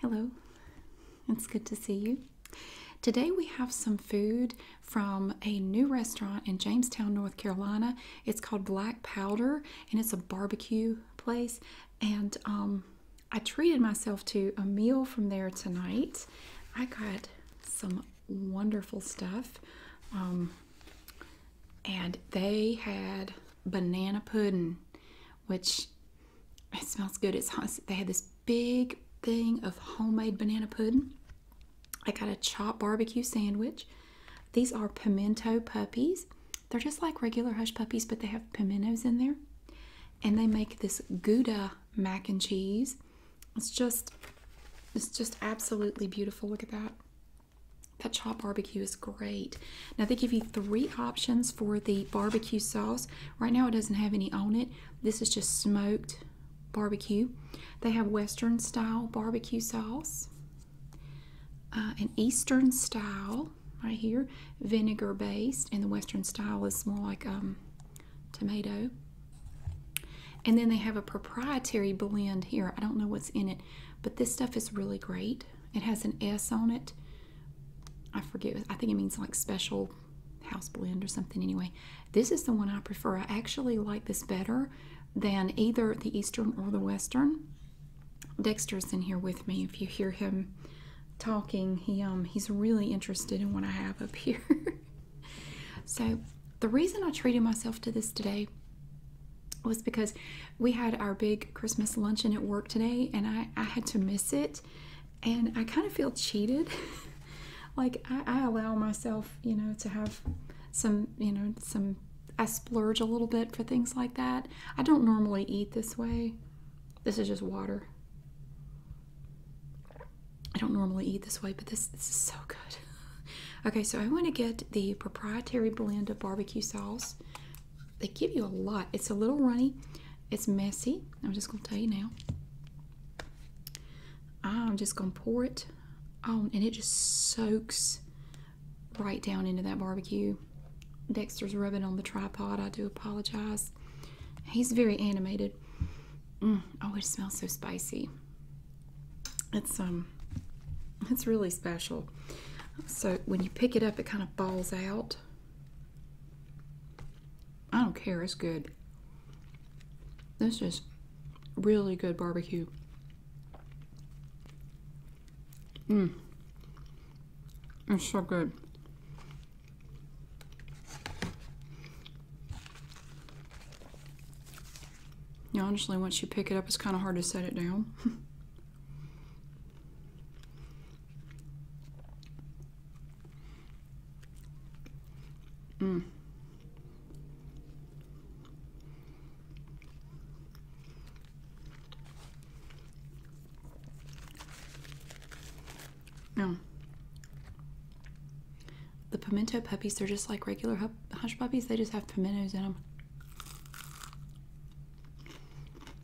Hello, it's good to see you. Today we have some food from a new restaurant in Jamestown, North Carolina. It's called Black Powder and it's a barbecue place. And um, I treated myself to a meal from there tonight. I got some wonderful stuff. Um, and they had banana pudding which it smells good. It's they had this big thing of homemade banana pudding. I got a chopped barbecue sandwich. These are pimento puppies. They're just like regular hush puppies, but they have pimentos in there. And they make this Gouda mac and cheese. It's just, it's just absolutely beautiful. Look at that. That chop barbecue is great. Now they give you three options for the barbecue sauce. Right now it doesn't have any on it. This is just smoked barbecue. They have Western style barbecue sauce, uh, an Eastern style right here, vinegar based, and the Western style is more like um, tomato. And then they have a proprietary blend here. I don't know what's in it, but this stuff is really great. It has an S on it. I forget. I think it means like special house blend or something. Anyway, this is the one I prefer. I actually like this better than either the Eastern or the Western. Dexter's in here with me. If you hear him talking, he um he's really interested in what I have up here. so the reason I treated myself to this today was because we had our big Christmas luncheon at work today, and I, I had to miss it. And I kind of feel cheated. like, I, allow myself, you know, to have some, you know, some, I splurge a little bit for things like that. I don't normally eat this way. This is just water. I don't normally eat this way, but this, this is so good. okay, so I want to get the proprietary blend of barbecue sauce they give you a lot. It's a little runny. It's messy. I'm just going to tell you now. I'm just going to pour it on, and it just soaks right down into that barbecue. Dexter's rubbing on the tripod. I do apologize. He's very animated. Mm, oh, it smells so spicy. It's um, it's really special. So when you pick it up, it kind of of balls out. I don't care, it's good. This is really good barbecue. Mmm. It's so good. Yeah, honestly, once you pick it up, it's kind of hard to set it down. Mm. No. The pimento puppies, they're just like regular hush puppies. They just have pimentos in them.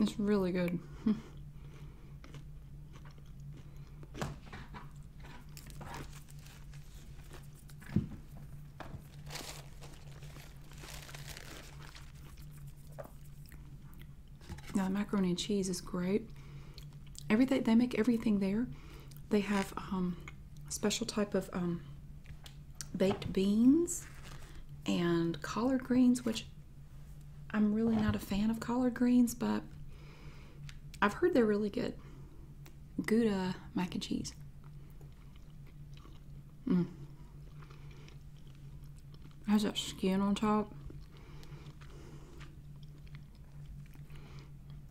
It's really good. now macaroni and cheese is great. Everything they make everything there. They have um, a special type of um, baked beans and collard greens, which I'm really not a fan of collard greens, but I've heard they're really good. Gouda mac and cheese. Mm. Has that skin on top.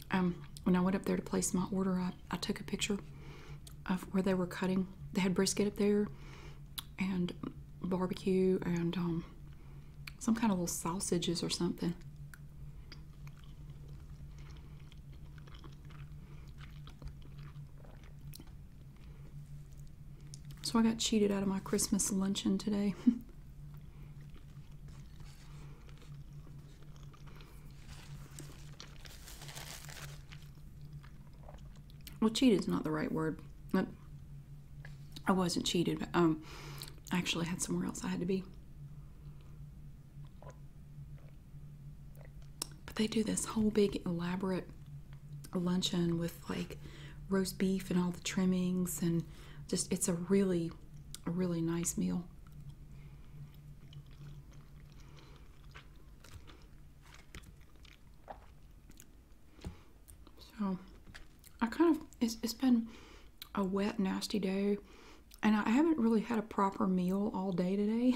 Um, when I went up there to place my order, I I, took a picture of where they were cutting. They had brisket up there and barbecue and um, some kind of little sausages or something. So I got cheated out of my Christmas luncheon today. well cheated is not the right word but i wasn't cheated but um i actually had somewhere else i had to be but they do this whole big elaborate luncheon with like roast beef and all the trimmings and just it's a really a really nice meal so I kind of, it's, it's been a wet, nasty day, and I haven't really had a proper meal all day today.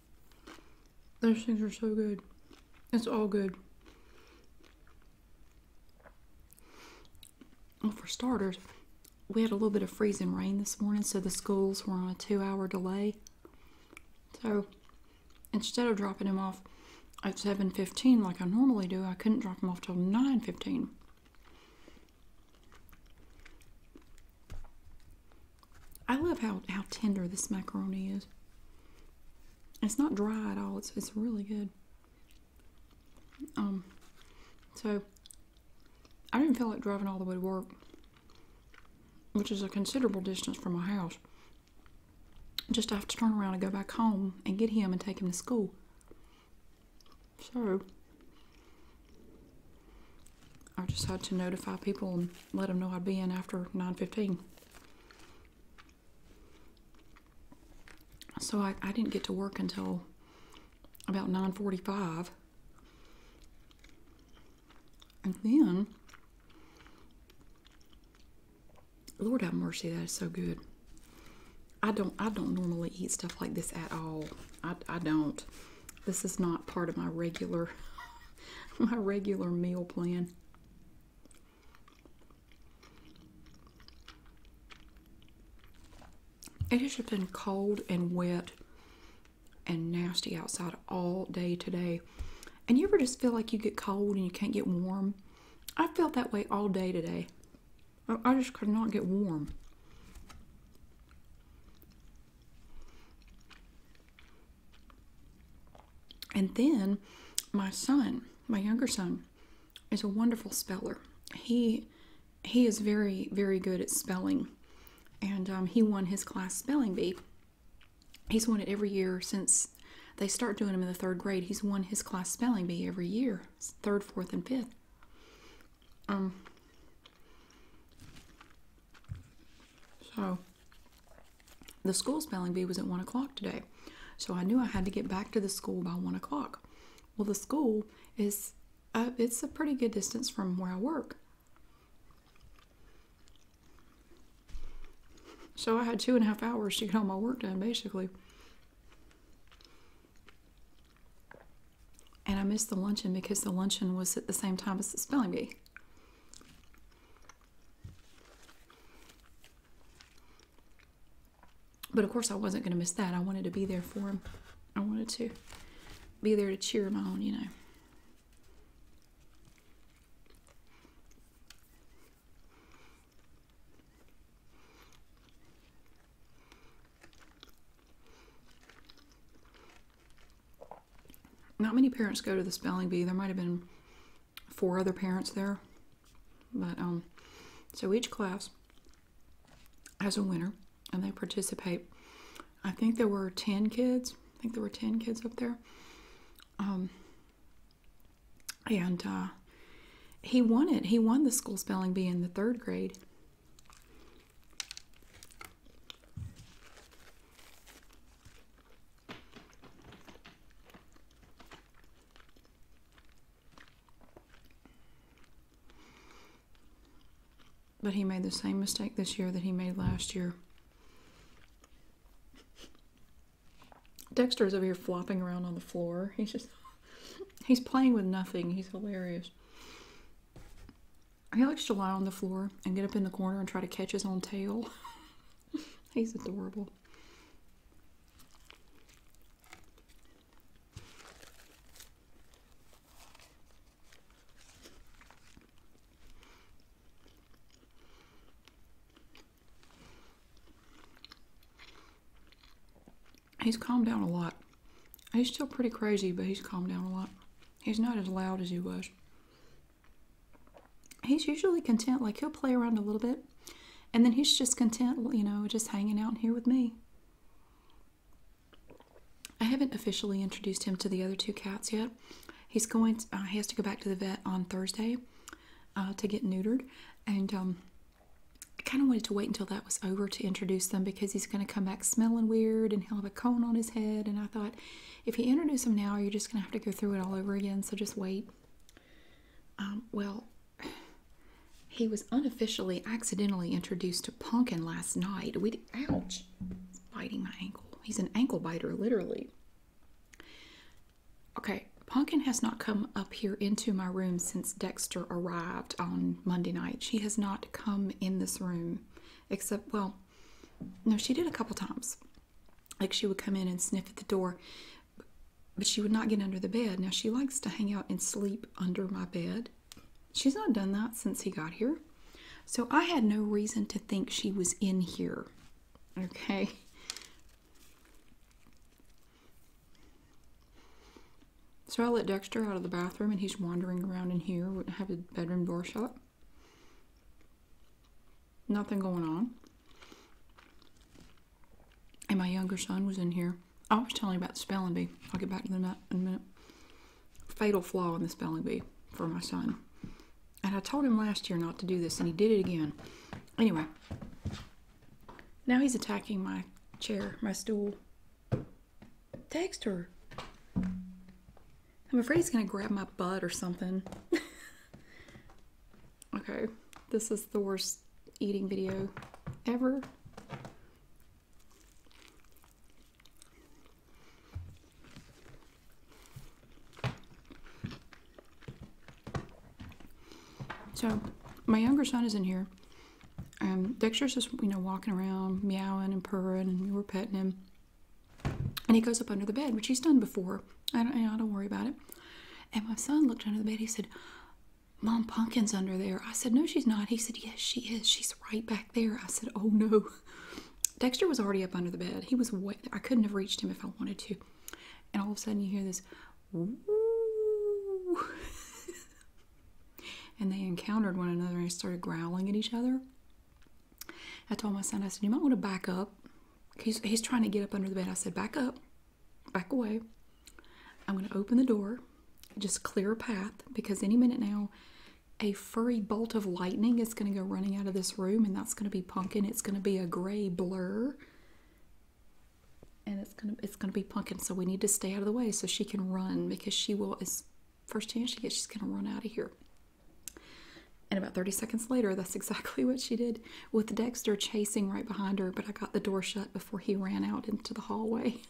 Those things are so good. It's all good. Well, for starters, we had a little bit of freezing rain this morning, so the schools were on a two hour delay. So instead of dropping him off at 7.15 like I normally do, I couldn't drop him off till 9.15. I love how, how tender this macaroni is. It's not dry at all. It's it's really good. Um, so I didn't feel like driving all the way to work, which is a considerable distance from my house. Just have to turn around and go back home and get him and take him to school. So I just had to notify people and let them know I'd be in after 9.15. So I, I didn't get to work until about 9.45. And then, Lord have mercy, that is so good. I don't I don't normally eat stuff like this at all. I, I don't. This is not part of my regular my regular meal plan. It has been cold and wet and nasty outside all day today. And you ever just feel like you get cold and you can't get warm? I felt that way all day today. I just could not get warm. And then my son, my younger son, is a wonderful speller. He he is very very good at spelling, and um, he won his class spelling bee. He's won it every year since they start doing them in the third grade. He's won his class spelling bee every year, third, fourth, and fifth. Um. So the school spelling bee was at one o'clock today, so I knew I had to get back to the school by one o'clock. Well, the school is uh, it's a pretty good distance from where I work. So I had two and a half hours to get all my work done, basically. And I missed the luncheon because the luncheon was at the same time as the spelling bee. But of course, I wasn't going to miss that. I wanted to be there for him. I wanted to be there to cheer him on, you know. Not many parents go to the spelling bee. There might have been four other parents there. But um, so each class has a winner and they participate. I think there were 10 kids. I think there were 10 kids up there. Um, and uh, he won it. He won the school spelling bee in the 3rd grade. But he made the same mistake this year that he made last year. Dexter is over here flopping around on the floor. He's just, he's playing with nothing. He's hilarious. He likes to lie on the floor and get up in the corner and try to catch his own tail. He's adorable. He's calmed down a lot. He's still pretty crazy, but he's calmed down a lot. He's not as loud as he was he's usually content. Like he'll play around a little bit and then he's just content, you know, just hanging out here with me. I haven't officially introduced him to the other two cats yet. He's going, uh, he has to go back to the vet on Thursday uh, to get neutered. And um, I kind of wanted to wait until that was over to introduce them because he's going to come back smelling weird and he'll have a cone on his head. And I thought, if you introduce him now, you're just going to have to go through it all over again, so just wait. Um, well, he was unofficially accidentally introduced to Punkin last night. We ouch, biting my ankle. He's an ankle biter, literally. Okay, Punkin has not come up here into my room since Dexter arrived on Monday night. She has not come in this room, except well, no, she did a couple times. Like she would come in and sniff at the door, but she would not get under the bed. Now she likes to hang out and sleep under my bed. She's not done that since he got here. So I had no reason to think she was in here. Okay. So I let Dexter out of the bathroom and he's wandering around in here. I have the bedroom door shut nothing going on. And my younger son was in here. I was telling you about the spelling bee. I'll get back to that in a minute. Fatal flaw in the spelling bee for my son. And I told him last year not to do this, and he did it again. Anyway, now he's attacking my chair, my stool. Text her. I'm afraid he's gonna grab my butt or something. okay, this is the worst eating video ever. So my younger son is in here. Um, Dexter's just you know walking around, meowing and purring, and we were petting him. And he goes up under the bed, which he's done before. I don't, I don't worry about it. And my son looked under the bed. He said, Mom, Pumpkin's under there. I said, No, she's not. He said, Yes, she is. She's right back there. I said, Oh no. Dexter was already up under the bed. He was wet. I couldn't have reached him if I wanted to. And all of a sudden, you hear this, and they encountered one another and started growling at each other. I told my son, I said, you might want to back up. He's, trying to get up under the bed. I said, back up, back away. I'm going to open the door, just clear a path because any minute now, a furry bolt of lightning is going to go running out of this room and that's going to be pumpkin. It's going to be a gray blur and it's going to, it's going to be pumpkin. So we need to stay out of the way so she can run because she will, as first chance she gets, she's going to run out of here. And about 30 seconds later, that's exactly what she did, with Dexter chasing right behind her, but I got the door shut before he ran out into the hallway.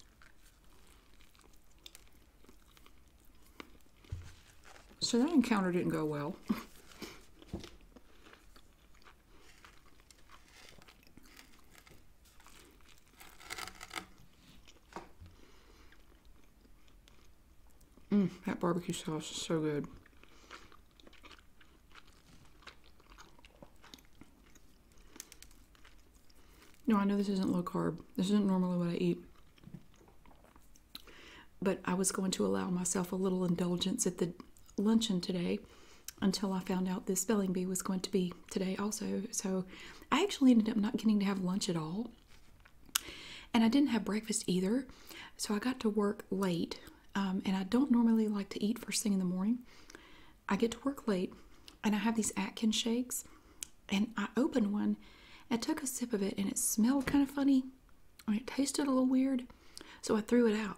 So that encounter didn't go well. Mm, that barbecue sauce is so good. No, I know this isn't low carb. This isn't normally what I eat. But I was going to allow myself a little indulgence at the luncheon today until I found out the spelling bee was going to be today also. So I actually ended up not getting to have lunch at all. And I didn't have breakfast either, so I got to work late. Um, and I don't normally like to eat first thing in the morning. I get to work late, and I have these Atkins shakes. And I opened one, I took a sip of it, and it smelled kind of funny, and it tasted a little weird, so I threw it out.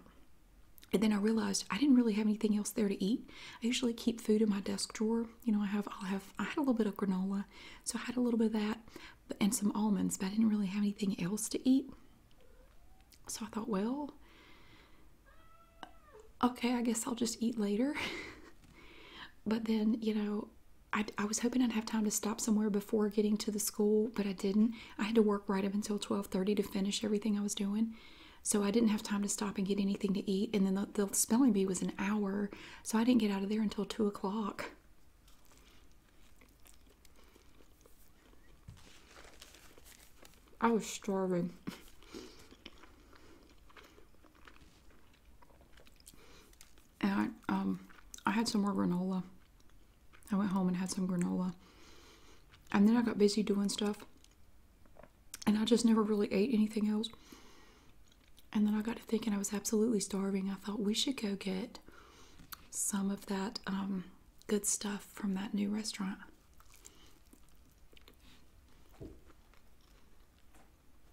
And then I realized I didn't really have anything else there to eat. I usually keep food in my desk drawer. You know, I have i have I had a little bit of granola, so I had a little bit of that and some almonds, but I didn't really have anything else to eat. So I thought, well, okay, I guess I'll just eat later. but then, you know, I, I was hoping I'd have time to stop somewhere before getting to the school, but I didn't. I had to work right up until 12:30 to finish everything I was doing. So I didn't have time to stop and get anything to eat. And then the, the spelling bee was an hour, so I didn't get out of there until 2 o'clock. I was starving. And um, I had some more granola. I went home and had some granola. And then I got busy doing stuff. And I just never really ate anything else. And then I got to thinking I was absolutely starving. I thought we should go get some of that um, good stuff from that new restaurant.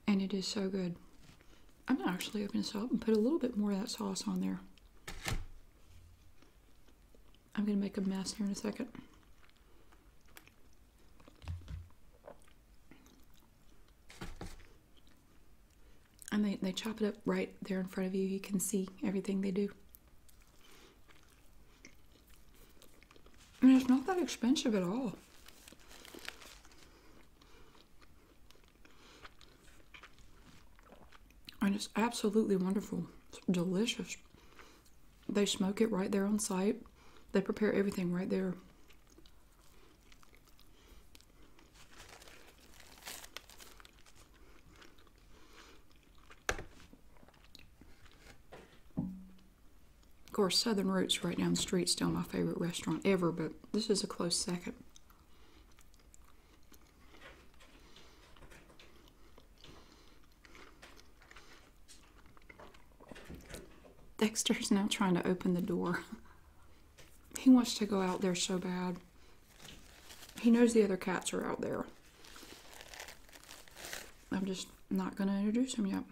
And it is so good. I'm gonna actually open this up and put a little bit more of that sauce on there. I'm gonna make a mess here in a second and they, they chop it up right there in front of you. You can see everything they do. I mean, it's not that expensive at all. And it's absolutely wonderful. delicious. They smoke it right there on site. They prepare everything right there. Of course, Southern Roots right down the street still my favorite restaurant ever, but this is a close second. Dexter's now trying to open the door. He wants to go out there so bad. He knows the other cats are out there. I'm just not going to introduce him yet.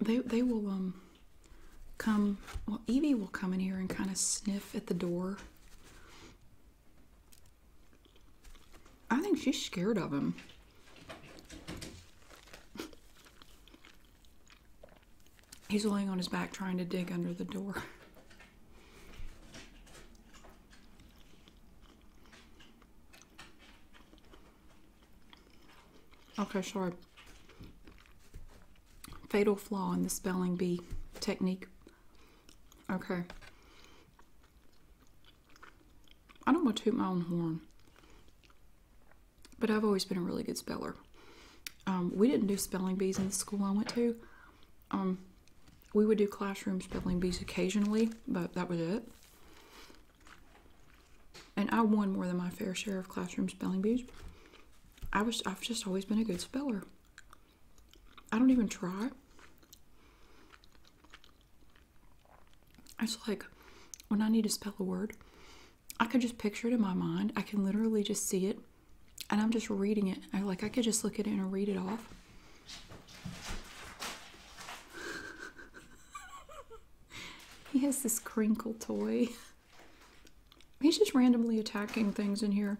They, they will um come well Evie will come in here and kind of sniff at the door I think she's scared of him. He's laying on his back trying to dig under the door. Okay, sorry. Fatal flaw in the spelling bee technique. Okay. I don't want to toot my own horn, but I've always been a really good speller. Um, we didn't do spelling bees in the school I went to. Um, we would do classroom spelling bees occasionally, but that was it. And I won more than my fair share of classroom spelling bees. I was I've just always been a good speller. I don't even try. It's like when I need to spell a word, I can just picture it in my mind. I can literally just see it and I'm just reading it. like I could just look at it and read it off. he has this crinkle toy. He's just randomly attacking things in here.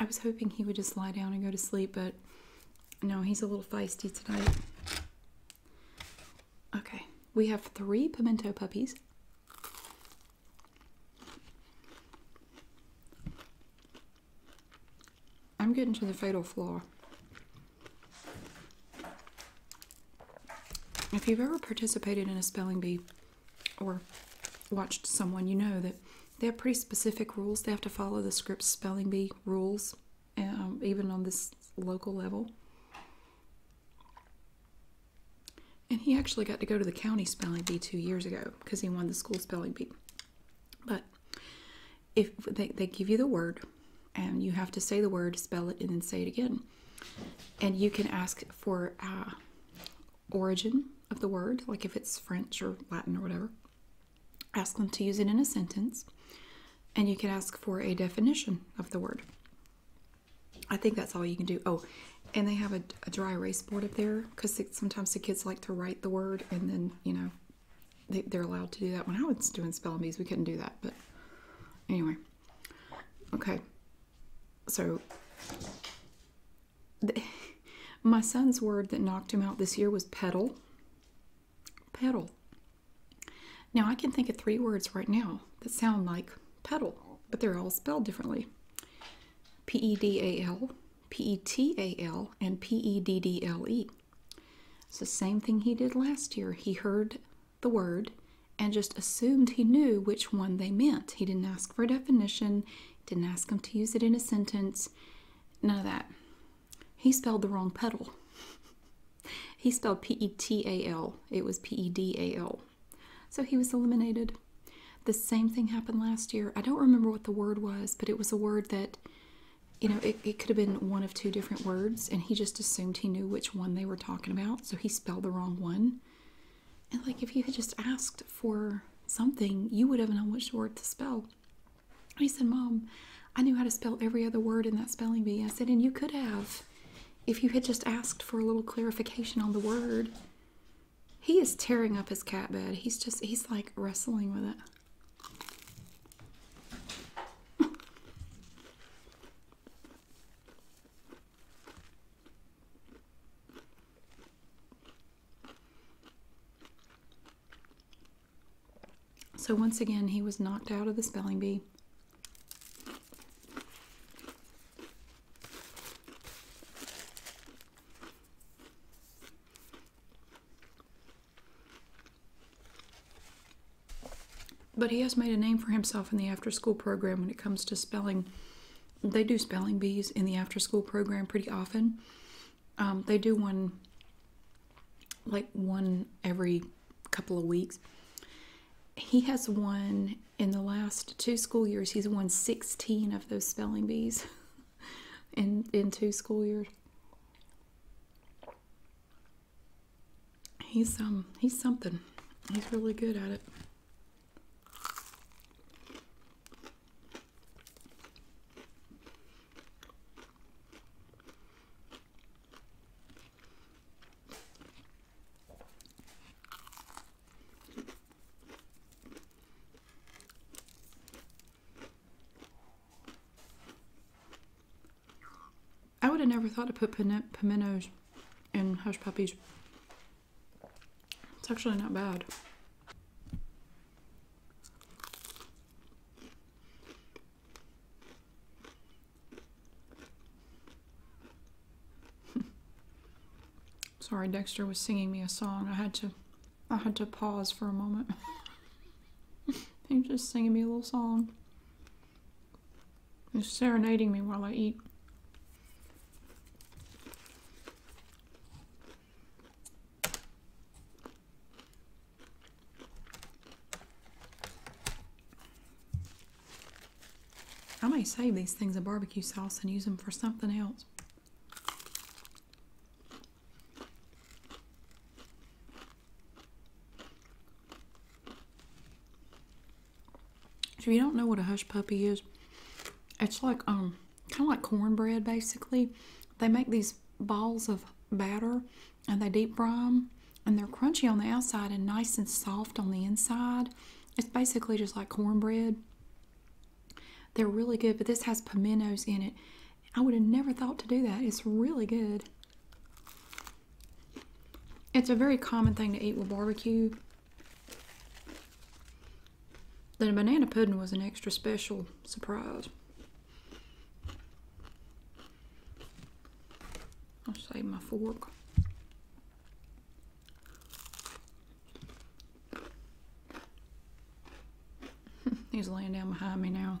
I was hoping he would just lie down and go to sleep, but no, he's a little feisty tonight. Okay, we have three pimento puppies. I'm getting to the fatal flaw. If you've ever participated in a spelling bee or watched someone, you know that they have pretty specific rules. They have to follow the script spelling bee rules, um, even on this local level. And he actually got to go to the county spelling bee two years ago because he won the school spelling bee. But if they give you the word and you have to say the word, spell it, and then say it again and you can ask for uh, origin of the word, like if it's French or Latin or whatever. Ask them to use it in a sentence, and you can ask for a definition of the word. I think that's all you can do. Oh, and they have a, dry erase board up there because sometimes the kids like to write the word and then, you know, they're allowed to do that. When I was doing spelling bees, we couldn't do that. But anyway, Okay, so my son's word that knocked him out this year was pedal. Pedal. Now I can think of three words right now that sound like pedal, but they're all spelled differently. P E D A L, P E T A L, and P E D D L E. It's the same thing he did last year. He heard the word and just assumed he knew which one they meant. He didn't ask for a definition, didn't ask him to use it in a sentence, none of that. He spelled the wrong pedal. he spelled P E T A L, it was P E D A L. So he was eliminated. The same thing happened last year. I don't remember what the word was, but it was a word that, you know, it, could have been one of two different words, and he just assumed he knew which one they were talking about, so he spelled the wrong one. And like if you had just asked for something, you would have known which word to spell. he said, Mom, I knew how to spell every other word in that spelling bee. I said, and you could have if you had just asked for a little clarification on the word. He is tearing up his cat bed. He's just, he's like wrestling with it. So once again, he was knocked out of the spelling bee. But he has made a name for himself in the after school program when it comes to spelling. They do spelling bees in the after school program pretty often. Um, they do one like one every couple of weeks. He has won in the last two school years, he's won 16 of those spelling bees in, in two school years he's um he's something. He's really good at it. I would have never thought to put pimentos in hush puppies. It's actually not bad. Sorry, Dexter was singing me a song. I had to, I had to pause for a moment. He's just singing me a little song. It's serenading me while I eat. I may save these things of barbecue sauce and use them for something else. If you don't know what a hush puppy is, it's like um kind of like cornbread basically. They make these balls of batter and they deep fry them and they're crunchy on the outside and nice and soft on the inside. It's basically just like cornbread. They're really good, but this has pimentos in it. I would have never thought to do that. It's really good. It's a very common thing to eat with barbecue. The banana pudding was an extra special surprise. I'll save my fork. He's laying down behind me now.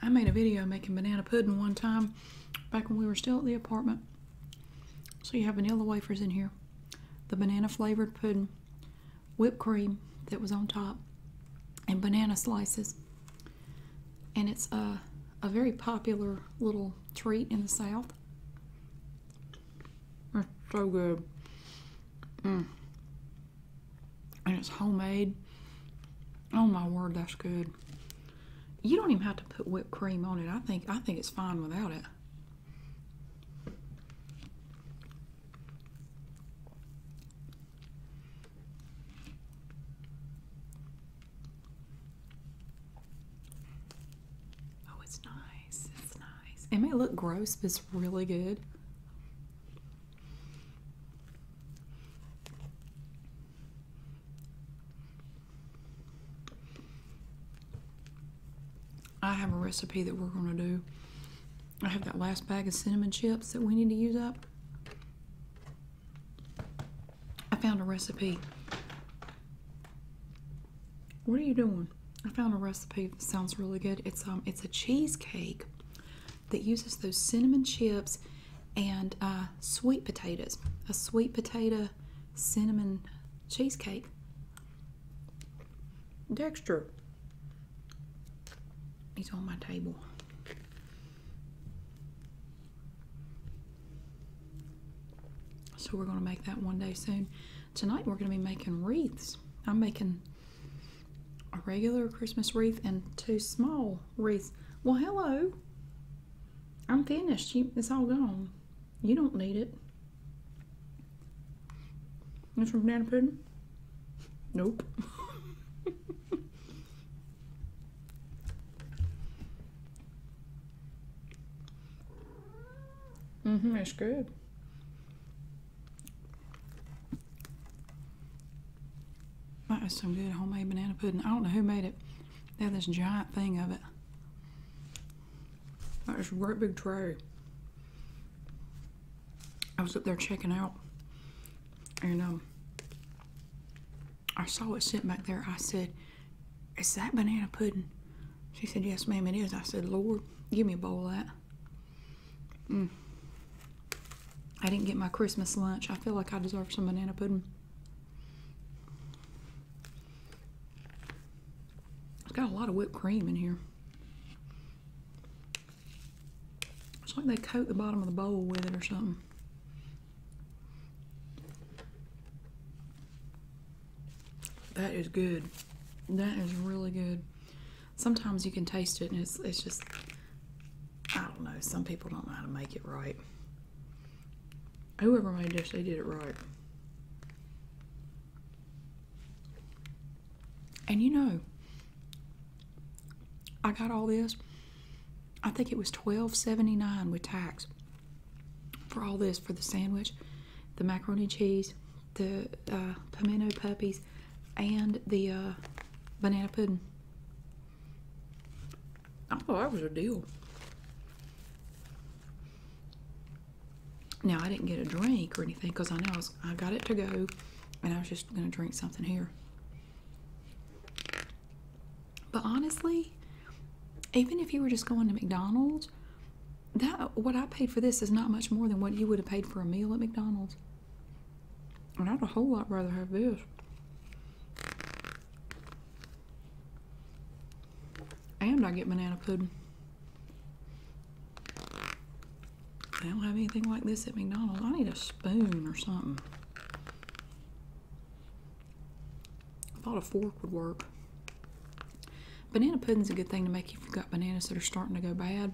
I made a video making banana pudding one time back when we were still at the apartment. So you have vanilla wafers in here, the banana flavored pudding, whipped cream that was on top, and banana slices. And it's a, a very popular little treat in the South. so good. Mm and it's homemade. Oh my word, that's good. You don't even have to put whipped cream on it. I think I think it's fine without it. Oh, it's nice. It's nice. It may look gross, but it's really good. I have a recipe that we're going to do. I have that last bag of cinnamon chips that we need to use up. I found a recipe. What are you doing? I found a recipe that sounds really good. It's um it's a cheesecake that uses those cinnamon chips and uh, sweet potatoes. A sweet potato cinnamon cheesecake. Dexter. He's on my table. So we're going to make that one day soon. Tonight we're going to be making wreaths. I'm making a regular Christmas wreath and two small wreaths. Well, hello. I'm finished. it's all gone. You don't need it. It's from Nana pudding. Nope. mm-hmm, That's good. That is some good homemade banana pudding. I don't know who made it. They had this giant thing of it. That is a great big tray. I was up there checking out and um, I saw it sitting back there. I said, Is that banana pudding? She said, Yes, ma'am, it is. I said, Lord, give me a bowl of that. Mm. I didn't get my Christmas lunch. I feel like I deserve some banana pudding. It's got a lot of whipped cream in here. It's like they coat the bottom of the bowl with it or something. That is good. That is really good sometimes you can taste it and it's, it's just I don't know some people don't know how to make it right whoever made this they did it right and you know I got all this I think it was 12.79 with tax for all this for the sandwich the macaroni cheese the uh, pimento puppies and the uh, banana pudding. I thought that was a deal. Now I didn't get a drink or anything because I know I, was, I got it to go, and I was just gonna drink something here. But honestly, even if you were just going to McDonald's, that what I paid for this is not much more than what you would have paid for a meal at McDonald's. And I'd a whole lot rather have this. And I get banana pudding. I don't have anything like this at McDonald's. I need a spoon or something. I thought a fork would work. Banana pudding's a good thing to make if you've got bananas that are starting to go bad.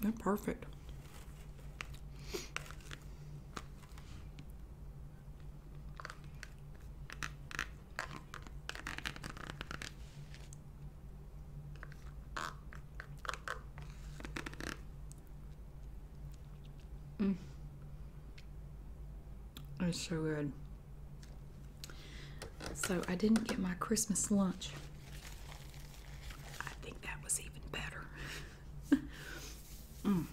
They're perfect. Mm. It's so good. So I didn't get my Christmas lunch. I think that was even better. Mm.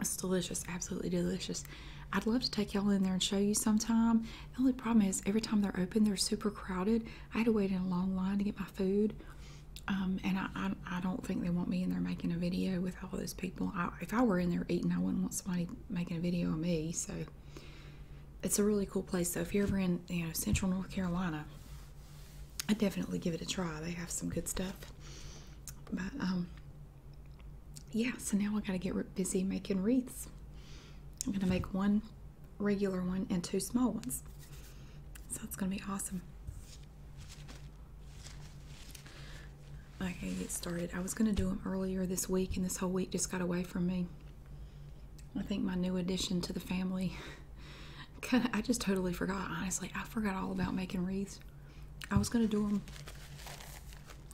It's delicious, absolutely delicious. I'd love to take y'all in there and show you sometime. The only problem is every time they're open, they're super crowded. I had to wait in a long line to get my food. Um, and I, don't think they want me in there making a video with all those people. if I were in there eating, I wouldn't want somebody making a video of me. So it's a really cool place. So if you're ever in you know Central North Carolina, I definitely give it a try. They have some good stuff. But um, yeah. So now I got to get busy making wreaths. I'm gonna make one regular one and two small ones. So it's gonna be awesome. I can get started. I was going to do them earlier this week, and this whole week just got away from me. I think my new addition to the family, kind of, I just totally forgot. Honestly, I forgot all about making wreaths. I was going to do them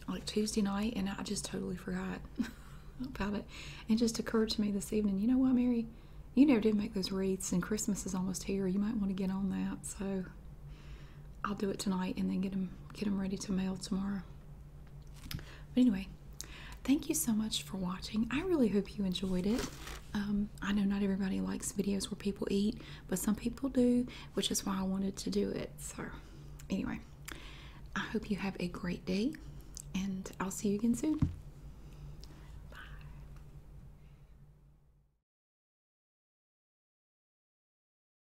like Tuesday night, and I just totally forgot about it. It just occurred to me this evening, you know what, Mary? You never did make those wreaths, and Christmas is almost here. You might want to get on that. So I'll do it tonight and then get them, get them ready to mail tomorrow. But anyway, thank you so much for watching. I really hope you enjoyed it. Um, I know not everybody likes videos where people eat, but some people do, which is why I wanted to do it. So, anyway, I hope you have a great day, and I'll see you again soon. Bye.